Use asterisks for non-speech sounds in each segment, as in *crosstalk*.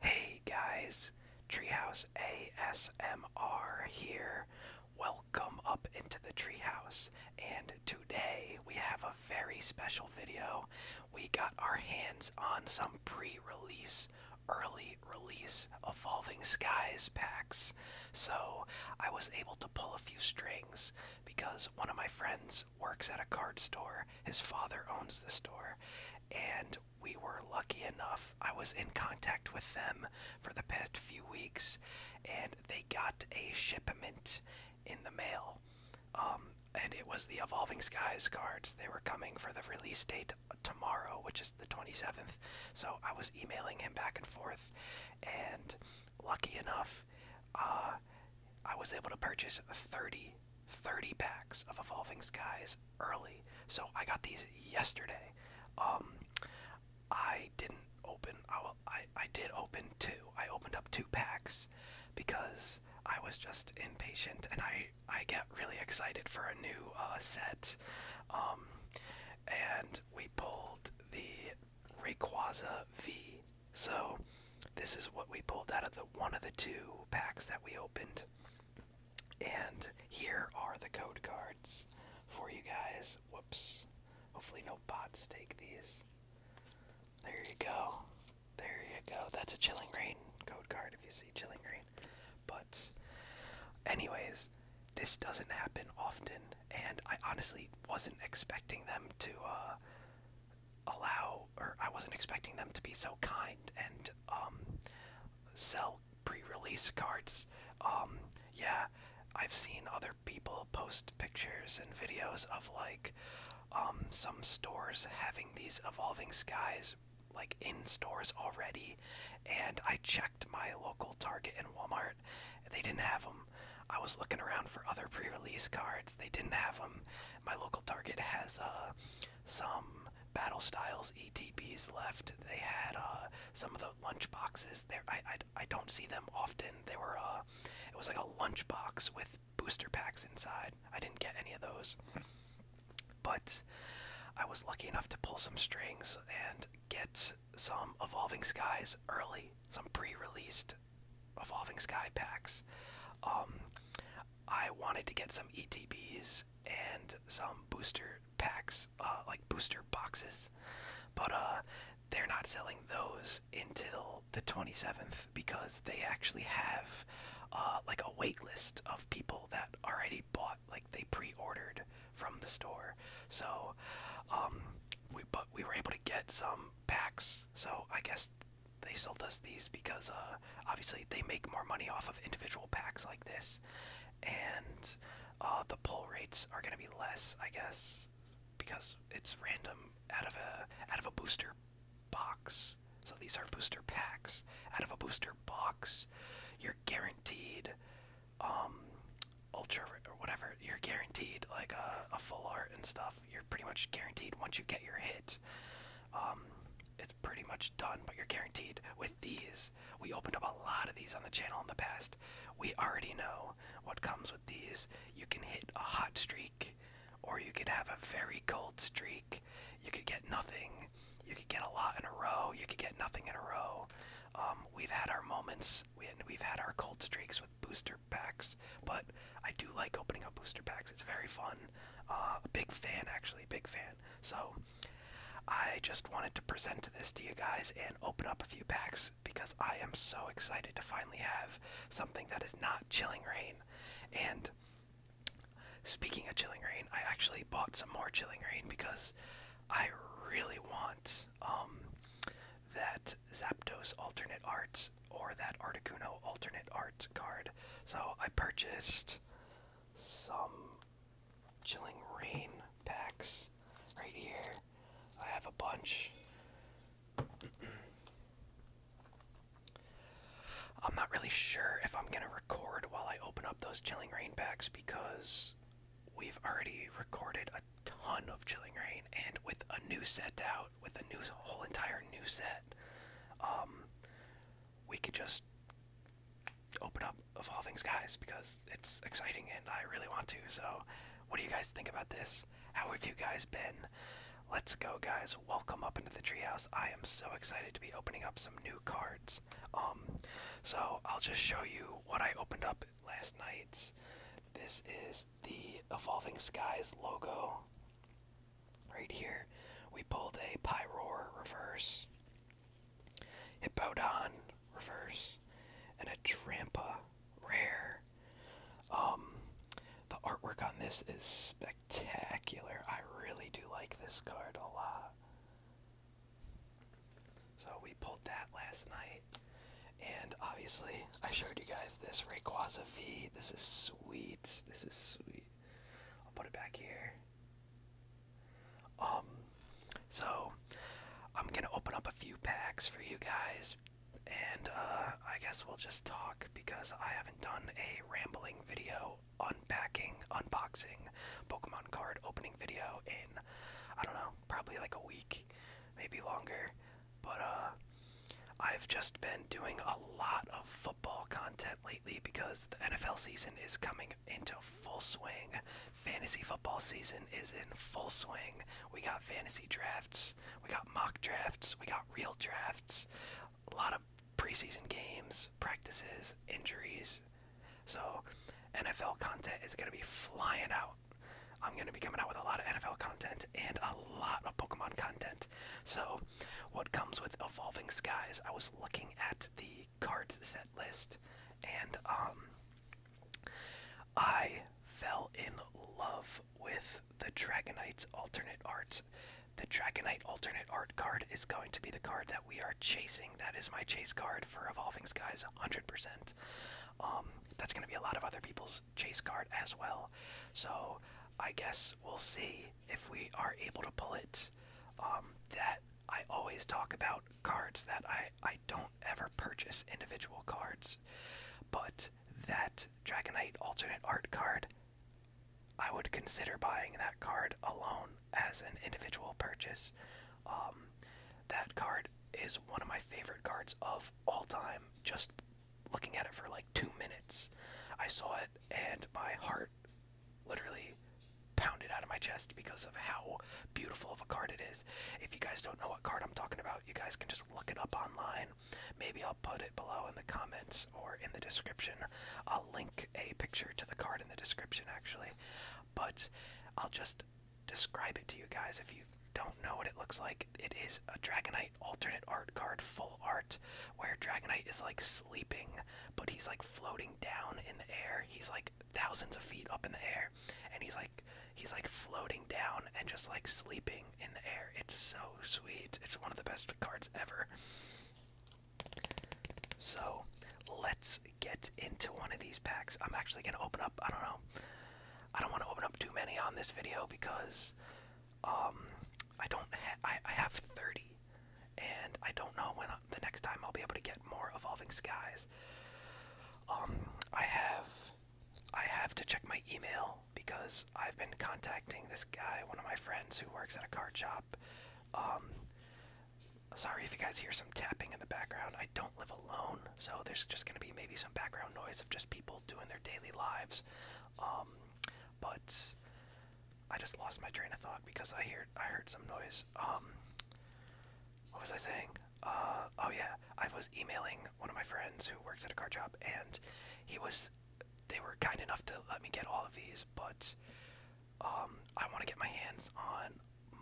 Hey guys, Treehouse ASMR here. Welcome up into the treehouse, and today we have a very special video. We got our hands on some pre release, early release Evolving Skies packs. So I was able to pull a few strings because one of my friends works at a card store. His father owns the store. And we were lucky enough, I was in contact with them for the past few weeks, and they got a shipment in the mail. Um, and it was the Evolving Skies cards. They were coming for the release date tomorrow, which is the 27th. So I was emailing him back and forth, and lucky enough, uh, I was able to purchase 30, 30 packs of Evolving Skies early. So I got these yesterday. Um, I didn't open. I, I did open two. I opened up two packs because I was just impatient, and I I get really excited for a new uh, set. Um, and we pulled the Rayquaza V so, this is what we pulled out of the one of the two packs that we opened. And here are the code cards for you guys. Whoops. Hopefully, no bots take these. There you go. There you go. That's a Chilling green code card if you see Chilling green. But, anyways, this doesn't happen often, and I honestly wasn't expecting them to uh, allow, or I wasn't expecting them to be so kind and um, sell pre-release cards. Um, yeah, I've seen other people post pictures and videos of like um, some stores having these evolving skies like in stores already, and I checked my local Target and Walmart. They didn't have them. I was looking around for other pre-release cards. They didn't have them my local Target has uh, some battle styles ETBs left. They had uh, some of the lunchboxes boxes there. I, I, I don't see them often. They were uh, it was like a lunchbox with booster packs inside. I didn't get any of those, but I was lucky enough to pull some strings and get some Evolving Skies early, some pre-released Evolving Sky packs. Um, I wanted to get some ETBs and some booster packs, uh, like booster boxes, but uh, they're not selling those until the 27th because they actually have uh, like a wait list of people that already bought, like they pre-ordered from the store. So, um, we but we were able to get some packs. So I guess they sold us these because uh, obviously they make more money off of individual packs like this, and uh, the pull rates are going to be less, I guess, because it's random out of a out of a booster box. So these are booster packs. Out of a booster box, you're guaranteed um, ultra or whatever. You're guaranteed like uh, a full art and stuff. You're pretty much guaranteed once you get your hit. Um, it's pretty much done, but you're guaranteed with these. We opened up a lot of these on the channel in the past. We already know what comes with these. You can hit a hot streak, or you could have a very cold streak. You could get nothing. You could get a lot in a row. You could get nothing in a row. Um, we've had our moments, we've had our cold streaks with booster packs. But I do like opening up booster packs. It's very fun. Uh, a big fan, actually, big fan. So I just wanted to present this to you guys and open up a few packs because I am so excited to finally have something that is not Chilling Rain. And speaking of Chilling Rain, I actually bought some more Chilling Rain because I really want um, that Zapdos alternate art or that Articuno alternate art card. So I purchased some Chilling Rain packs right here. I have a bunch. *clears throat* I'm not really sure if I'm going to record while I open up those Chilling Rain packs because we've already recorded a ton of Chilling Rain, and with a new set out, with a new whole entire new set, um, we could just open up of all things guys because it's exciting and I really want to. So, what do you guys think about this? How have you guys been? Let's go, guys. Welcome up into the treehouse. I am so excited to be opening up some new cards. Um, so I'll just show you what I opened up last night. This is the Evolving Skies logo. Right here, we pulled a Pyroar reverse, Hippodon reverse, and a Trampa rare. Um, the artwork on this is spectacular. I really do like this card a lot. So we pulled that last night. And obviously, I showed you guys this Rayquaza V. This is sweet. This is sweet. I'll put it back here. Um, so I'm gonna open up a few packs for you guys, and uh, I guess we'll just talk because I haven't done a rambling video unpacking, unboxing Pokemon card opening video in I don't know, probably like a week, maybe longer. But uh, I've just been doing a lot of football content lately because the NFL season is coming into full swing. Fantasy football season is in full swing. We got fantasy drafts, we got mock drafts, we got real drafts, a lot of preseason games, practices, injuries. So, NFL content is going to be flying out. I'm going to be coming out with a lot of NFL content and a lot of Pokemon content. So, what comes with Evolving Skies? I was looking at the card set list and um I fell in love with the Dragonite alternate art. The Dragonite alternate art card is going to be the card that we are chasing. That is my chase card for Evolving Skies 100%. Um, that's going to be a lot of other people's chase card as well. So I guess we'll see if we are able to pull it. Um, that I always talk about cards that I, I don't ever purchase individual cards, but that Dragonite alternate art card, I would consider buying that card alone as an individual purchase. Um, that card is one of my favorite cards of all time, just looking at it for like two minutes. I saw it and my heart literally pounded out of my chest because of how beautiful of a card it is. If you guys don't know what card I'm talking about, you guys can just look it up online. Maybe I'll put it below in the comments or in the description. I'll link a picture to the card in the description actually. But I'll just describe it to you guys if you don't know what it looks like. It is a Dragonite alternate art card full art where Dragonite is like sleeping, but he's like floating down in the air. He's like thousands of feet up in the air, and he's like he's like floating down and just like sleeping in the air. It's so sweet. It's one of the best cards ever. So let's get into one of these packs. I'm actually gonna open up I don't know. I don't want to open up too many on this video because um, I don't. I I have thirty, and I don't know when uh, the next time I'll be able to get more evolving skies. Um, I have, I have to check my email because I've been contacting this guy, one of my friends who works at a car shop. Um, sorry if you guys hear some tapping in the background. I don't live alone, so there's just gonna be maybe some background noise of just people doing their daily lives. Um, but I just lost my train of thought because I heard I heard some noise. Um, what was I saying? Uh, oh yeah, I was emailing one of my friends who works at a card shop, and he was. They were kind enough to let me get all of these, but um, I want to get my hands on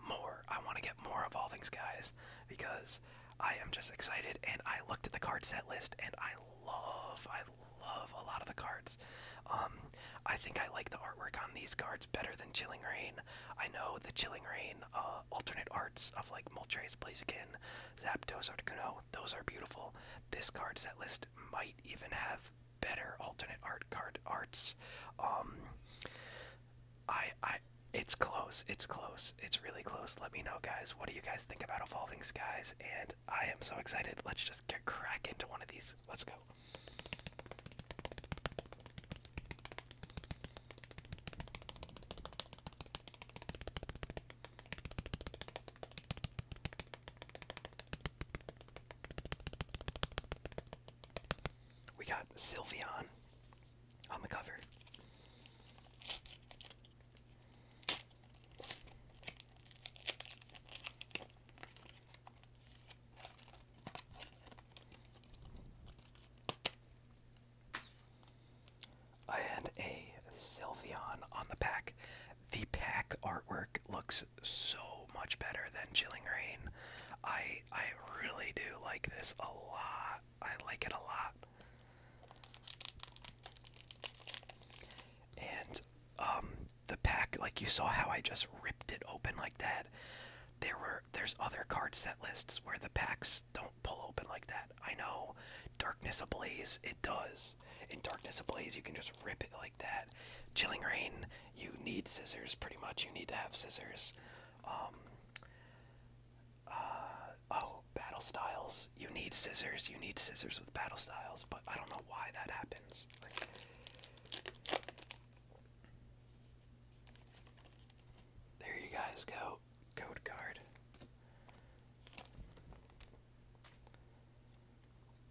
more. I want to get more Evolvings, guys, because I am just excited. And I looked at the card set list, and I love, I love a lot of the cards. Um, I think I like the artwork on these cards better than Chilling Rain. I know the Chilling Rain uh, alternate arts of like Moltres, Blaziken, Zapdos, Articuno, those are beautiful. This card set list might even have better alternate art card arts. Um, I, I, it's close. It's close. It's really close. Let me know, guys. What do you guys think about Evolving Skies? And I am so excited. Let's just get crack into one of these. Let's go. We got Sylveon on the cover. I a Sylveon on the pack. The pack artwork looks so much better than Chilling Rain. I I really do like this a lot. I like it a lot. And um, the pack, like you saw how I just ripped it open like that. There were there's other card set lists where the packs don't pull open like that. I know Darkness Ablaze it does. In Darkness Ablaze you can just rip it like that. Chilling Rain you need scissors pretty much. You need to have scissors. Um, uh, oh, Battle Styles you need scissors. You need scissors with battle styles, but I don't know why that happens. there you guys go. Code card.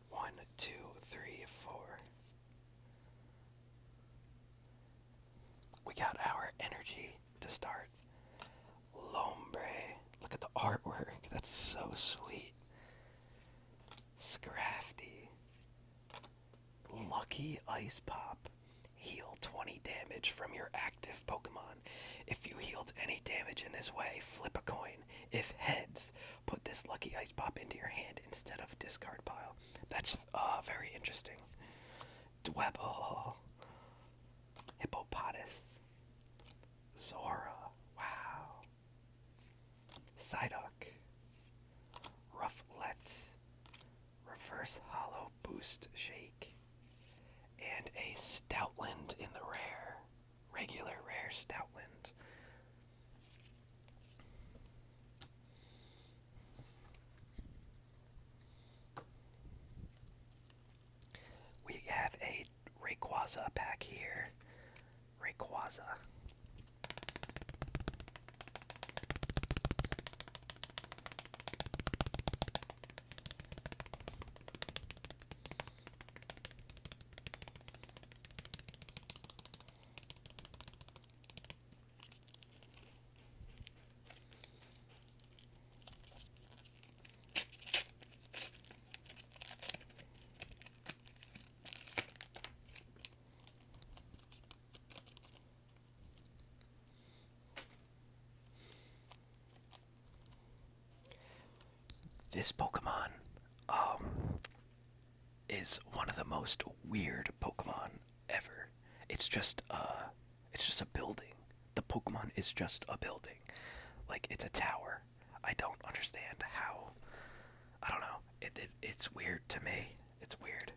One, two, three, four. We got our energy to start. Lombre. Look at the artwork. That's so sweet. Scrafty. Lucky Ice Pop. Heal 20 damage from your active Pokemon. If you healed any damage in this way, flip a coin. If heads, put this Lucky Ice Pop into your hand instead of discard pile. That's uh, very interesting. Dwebble. Hippopotas. Zora. Wow. Psyduck. Rufflet. Reverse Hollow Boost Shake. And a Stoutland in the rare. Regular rare Stoutland. We have a Rayquaza back here. Rayquaza. This Pokemon um, is one of the most weird Pokemon ever. It's just uh, it's just a building. The Pokemon is just a building, like it's a tower. I don't understand how. I don't know. It, it it's weird to me. It's weird.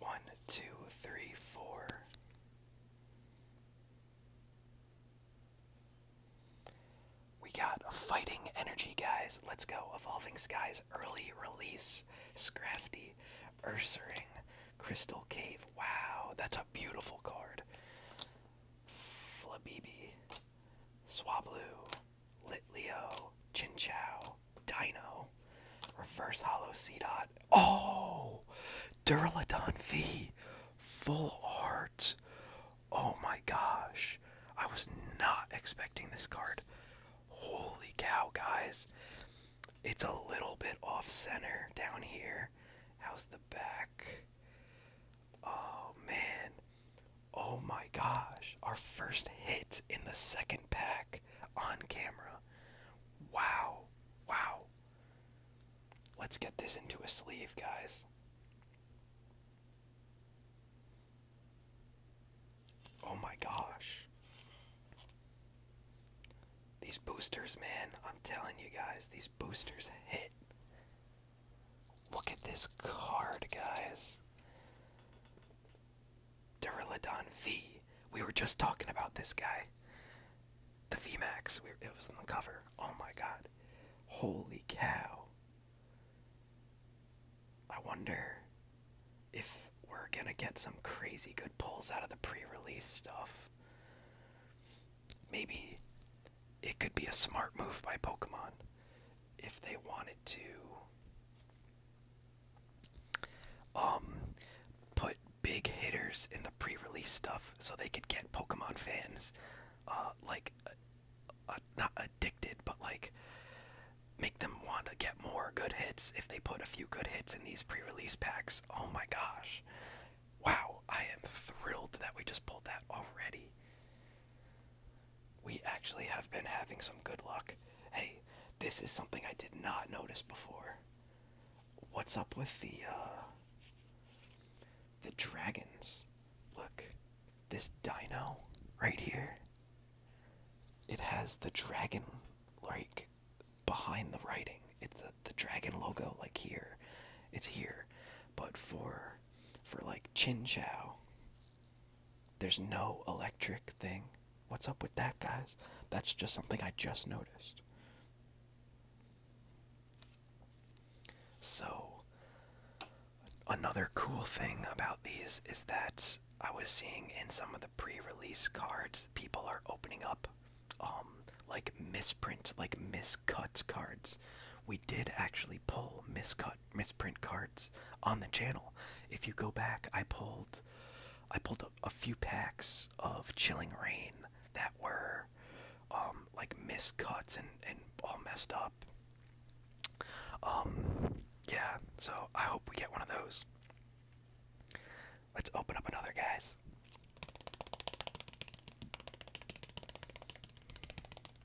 One, two, three, four. We got a fighting energy, guys. Let's go. Evolving Skies, early release, Scrafty, Ursaring, Crystal Cave. Wow, that's a beautiful card. Flabibi. Swablu, Litleo, Chinchow, Dino, Reverse Hollow Dot, Oh! Durladon V! Full art! Oh my gosh. I was not expecting this card. Holy cow, guys. It's a little bit off center down here. How's the back? Oh man. Oh my gosh. Our first hit in the second pack on camera. Wow. Wow. Let's get this into a sleeve, guys. Oh my gosh. These boosters, man. I'm telling you guys, these boosters hit. Look at this card, guys. Duraludon V. We were just talking about this guy. The VMAX. We it was on the cover. Oh my god. Holy cow. I wonder if we're gonna get some crazy good pulls out of the pre release stuff. Maybe it could be a smart move by Pokemon if they wanted to um put big hitters in the pre-release stuff so they could get Pokemon fans uh like uh, uh, not addicted but like make them want to get more good hits if they put a few good hits in these pre-release packs. Oh my gosh. Wow, I am thrilled that we just pulled that already. We actually have been having some good luck. Hey, this is something I did not notice before. What's up with the uh the dragons? Look, this dino right here. It has the dragon like behind the writing. It's the, the dragon logo like here. It's here. But for for like Chin Chow. There's no electric thing. What's up with that, guys? That's just something I just noticed. So, another cool thing about these is that I was seeing in some of the pre-release cards, people are opening up, um, like misprint, like miscut cards we did actually pull miscut misprint cards on the channel. If you go back, I pulled I pulled a, few packs of Chilling Rain that were um, like miscuts and and all messed up. Um, yeah. So I hope we get one of those. Let's open up another, guys.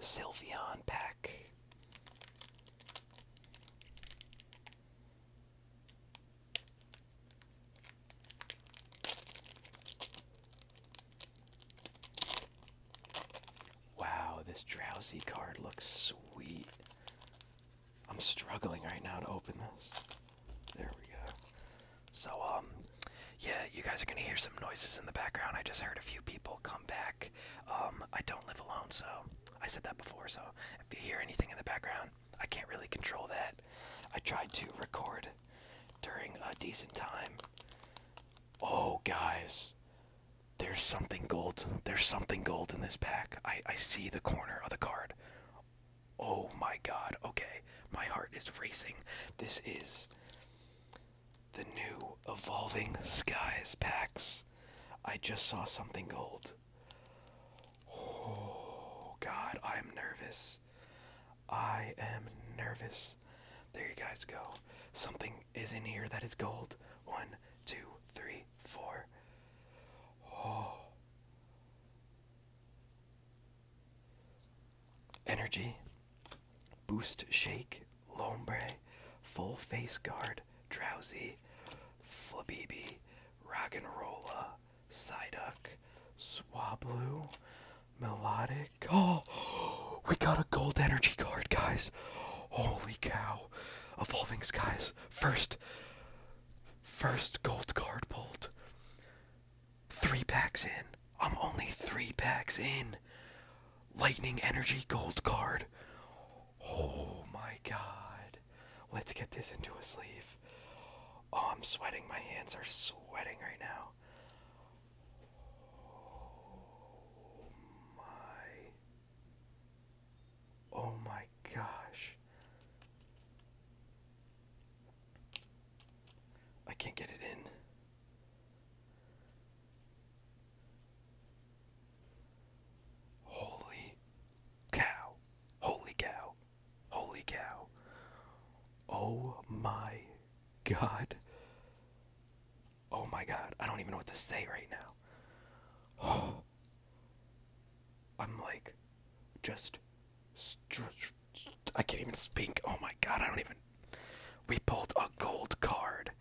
Sylveon Pack. Wow, this drowsy card looks sweet. I'm struggling right now to open this. There we go. So, um, yeah, you guys are gonna hear some noises in the background. I just heard a few people come back. Um, I don't live alone, so I said that before. So, if you hear anything in the background, I can't really control that. I tried to record during a decent time. Oh, guys, there's something gold. There's something gold in this pack. I I see the corner of the card. Oh my god, okay. My heart is racing. This is the new Evolving Skies packs. I just saw something gold. Oh god, I'm nervous. I am nervous. There you guys go. Something is in here that is gold. One, two, three, four. Oh. Energy, Boost Shake, Lombre, Full Face Guard, Drowsy, rock Flabibi, Rock'n'Rolla, Psyduck, Swablu, Melodic. Oh, we got a gold energy card, guys. Holy cow. Evolving Skies, first, first gold card bolt. Three packs in. I'm only three packs in. Lightning Energy Gold Card. Oh my god. Let's get this into a sleeve. Oh, I'm sweating. My hands are sweating right now. Oh my. Oh my gosh. I can't get it in. Holy cow. Holy cow. Holy cow. Oh my god. Oh my god. I don't even know what to say right now. *gasps* I'm like just I can't even speak. Oh my god, I don't even. We pulled a gold card.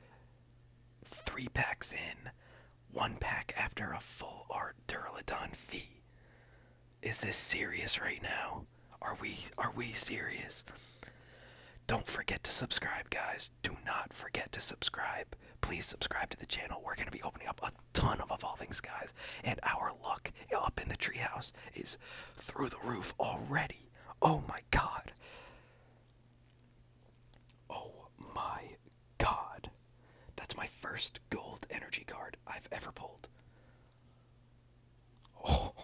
Three packs in, one pack after a full art duralodon fee. Is this serious right now? Are we are we serious? Don't forget to subscribe, guys. Do not forget to subscribe. Please subscribe to the channel. We're gonna be opening up a ton of evolving skies. And our luck up in the treehouse is through the roof already. Oh my god. Oh my god. That's my first gold energy card I've ever pulled. *laughs* oh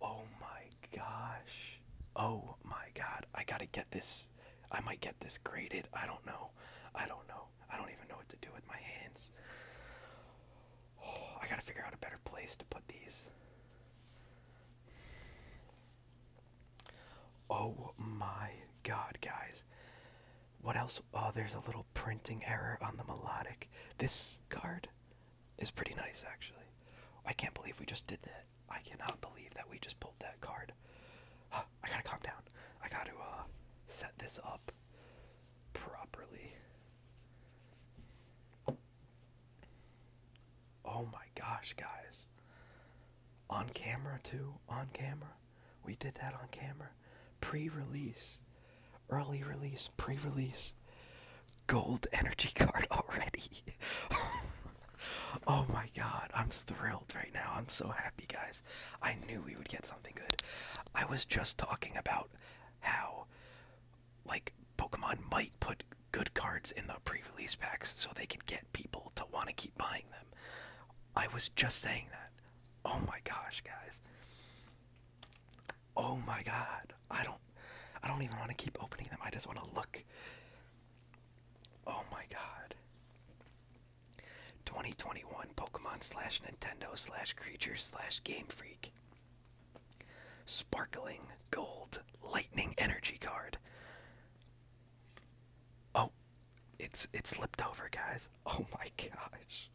my gosh. Oh my god. I gotta get this. I might get this graded. I don't know. I don't know. I don't even know what to do with my hands. Oh, *sighs* I gotta figure out a better place to put these. Oh my god, guys. What else? Oh, there's a little printing error on the melodic. This card is pretty nice, actually. I can't believe we just did that. I cannot believe that we just pulled that card. *sighs* I gotta calm down. I gotta uh, set this up properly. Oh my gosh, guys. On camera, too. On camera. We did that on camera. Pre release. Early release. Pre release. Gold energy card already. *laughs* oh my god. I'm thrilled right now. I'm so happy, guys. I knew we would get something good. I was just talking about how, like, Pokemon might put good cards in the pre release packs so they could get people to want to keep buying them. I was just saying that. Oh my gosh, guys. Oh my god. I don't I don't even want to keep opening them. I just want to look. Oh my god. 2021 Pokemon slash Nintendo slash Creature slash Game Freak. Sparkling Gold Lightning Energy Card. Oh, it's it slipped over, guys. *laughs* Oh my gosh.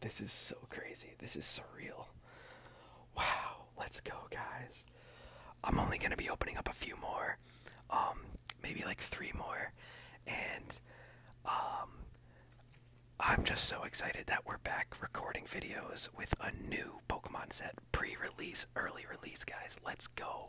This is so crazy. This is surreal. Wow, let's go, guys. I'm only going to be opening up a few more. Um maybe like three more, and um, I'm just so excited that we're back recording videos with a new Pokemon set, pre-release, early release, guys. Let's go.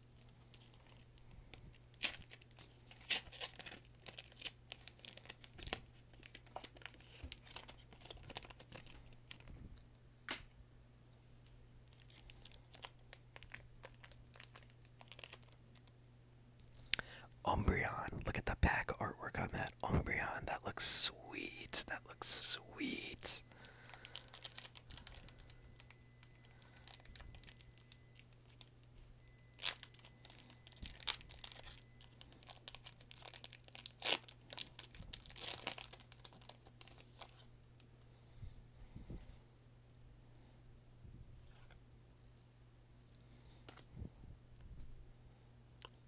Umbreon. Look at the pack artwork on that Umbreon. That looks sweet. That looks sweet.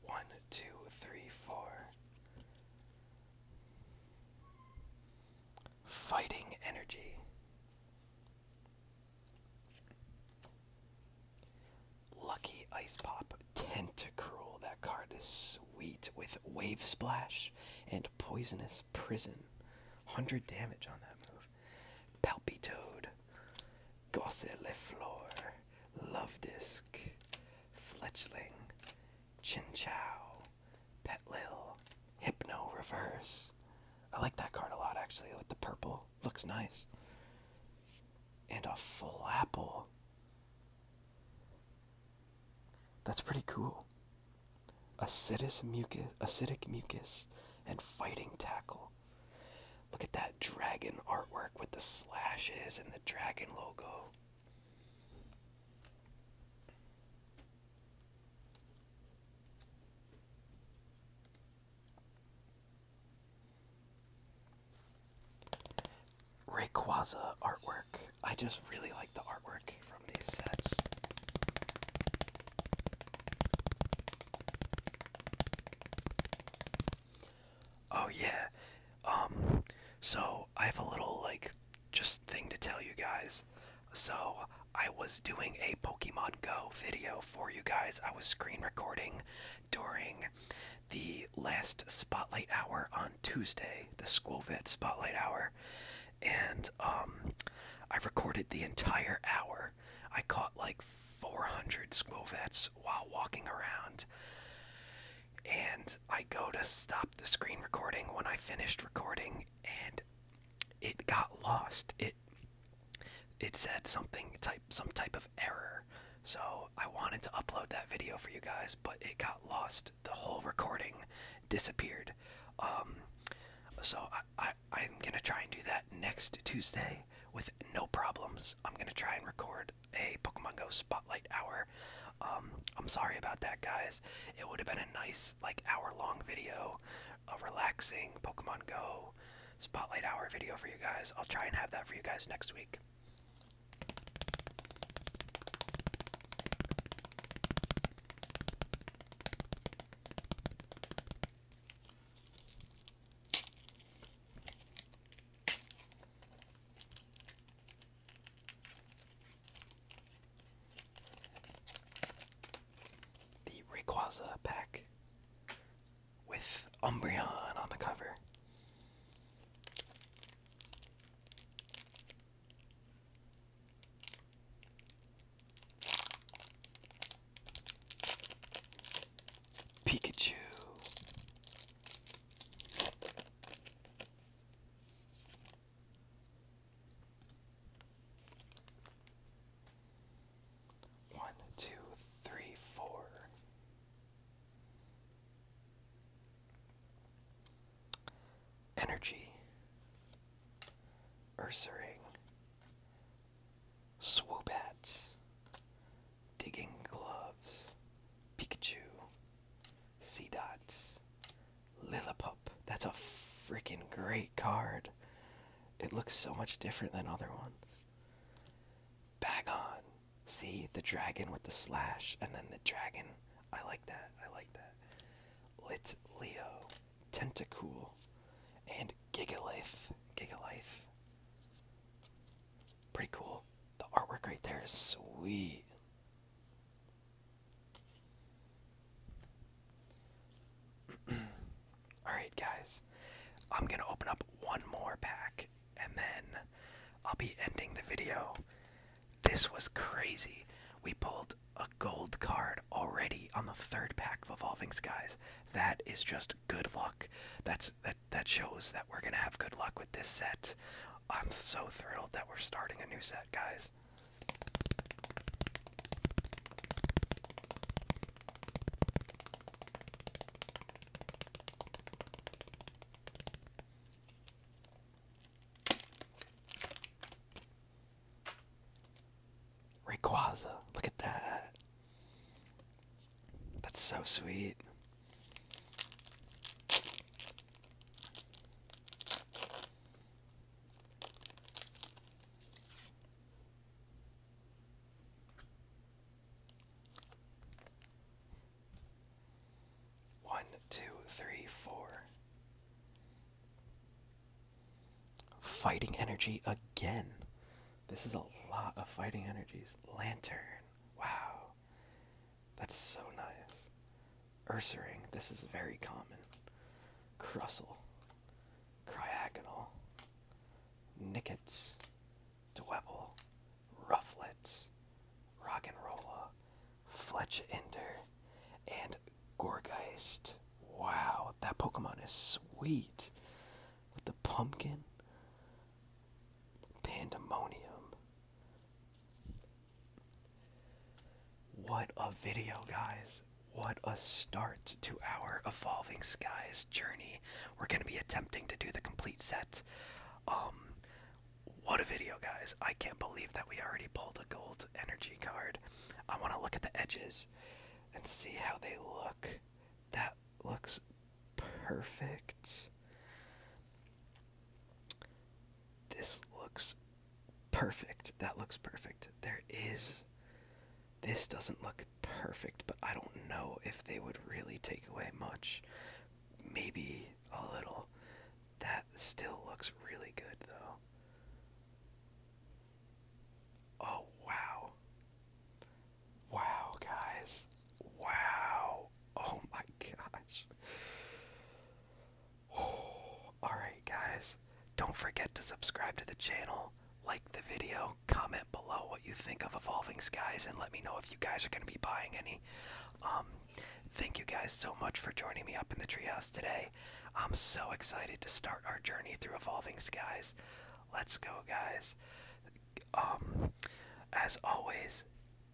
One, two, three, four. Fighting energy. Lucky Ice Pop Tentacruel. That card is sweet with wavesplash, and Poisonous Prison. 100 damage on that move. Palpitoad, Gosseliflor, Love Disc, Fletchling, Chinchow, Petlil, Hypno Reverse, I like that card a lot actually with the purple. Looks nice. And a full apple. That's pretty cool. Acidic mucus, acidic mucus, and fighting tackle. Look at that dragon artwork with the slashes and the dragon logo. Rayquaza artwork. I just really like the artwork from these sets. Oh yeah. Um so I have a little like just thing to tell you guys. So I was doing a Pokemon Go video for you guys. I was screen recording during the last spotlight hour on Tuesday, the school spotlight hour, and um, I recorded the entire hour. I caught like 400 school while walking around. And I go to stop the screen recording when I finished recording, and it got lost. It it said something type some type of error. So I wanted to upload that video for you guys, but it got lost. The whole recording disappeared. Um, so I, I I'm gonna try and do that next Tuesday with no problems. I'm gonna try and record a Pokemon Go Spotlight hour. Um, I'm sorry about that, guys. It would have been a nice like hour long video a relaxing Pokemon Go spotlight hour video for you guys. I'll try and have that for you guys next week the Rayquaza pack with Umbreon on the cover. Pikachu. One, two, three, four. Energy, Ursaring, Swoobat, Digging Gloves, Pikachu, Seedot, Lillipup. That's a freaking great card. It looks so much different than other ones. Bag on. See the dragon with the slash and then the dragon. I like that. I like that. Lit Leo. Tentacool. And Gigalife. Gigalife. Pretty cool. The artwork right there is sweet. *clears throat* Alright, guys. I'm going to open up one more pack and then I'll be ending the video. This was crazy. We pulled a gold card already on the third pack of Evolving Skies. That is just good luck. That's that that shows that we're gonna have good luck with this set. I'm so thrilled that we're starting a new set, guys. Rayquaza, look at that. That's so sweet. One, two, three, four. Fighting energy again. This is a lot of fighting energies. Lantern. Wow. That's so nice. Ursaring. This is very common. Crustle. Cryagonal, Nickets, Dwebble, Rufflet, Rock and Rolla, Fletch and Gorgeist. Wow, that Pokemon is sweet. With the pumpkin, Pandemonium. What a video, guys. What a start to our Evolving Skies journey. We're going to be attempting to do the complete set. Um, what a video, guys. I can't believe that we already pulled a gold energy card. I want to look at the edges and see how they look. That looks perfect. This looks perfect. That looks perfect. There is. This doesn't look perfect, but I don't know if they would really take away much. Maybe a little. That still looks really good, though. Oh, wow. Wow, guys. Wow. Oh my gosh. Oh, *sighs* all right, guys. Don't forget to subscribe to the channel, like the video, comment below what you think of Evolving Skies, and let me know if you guys are going to be buying any. Um, thank you guys so much for joining me up in the treehouse today. I'm so excited to start our journey through Evolving Skies. Let's go, guys. Um, as always,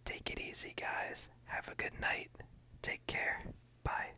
take it easy, guys. Have a good night. Take care. Bye.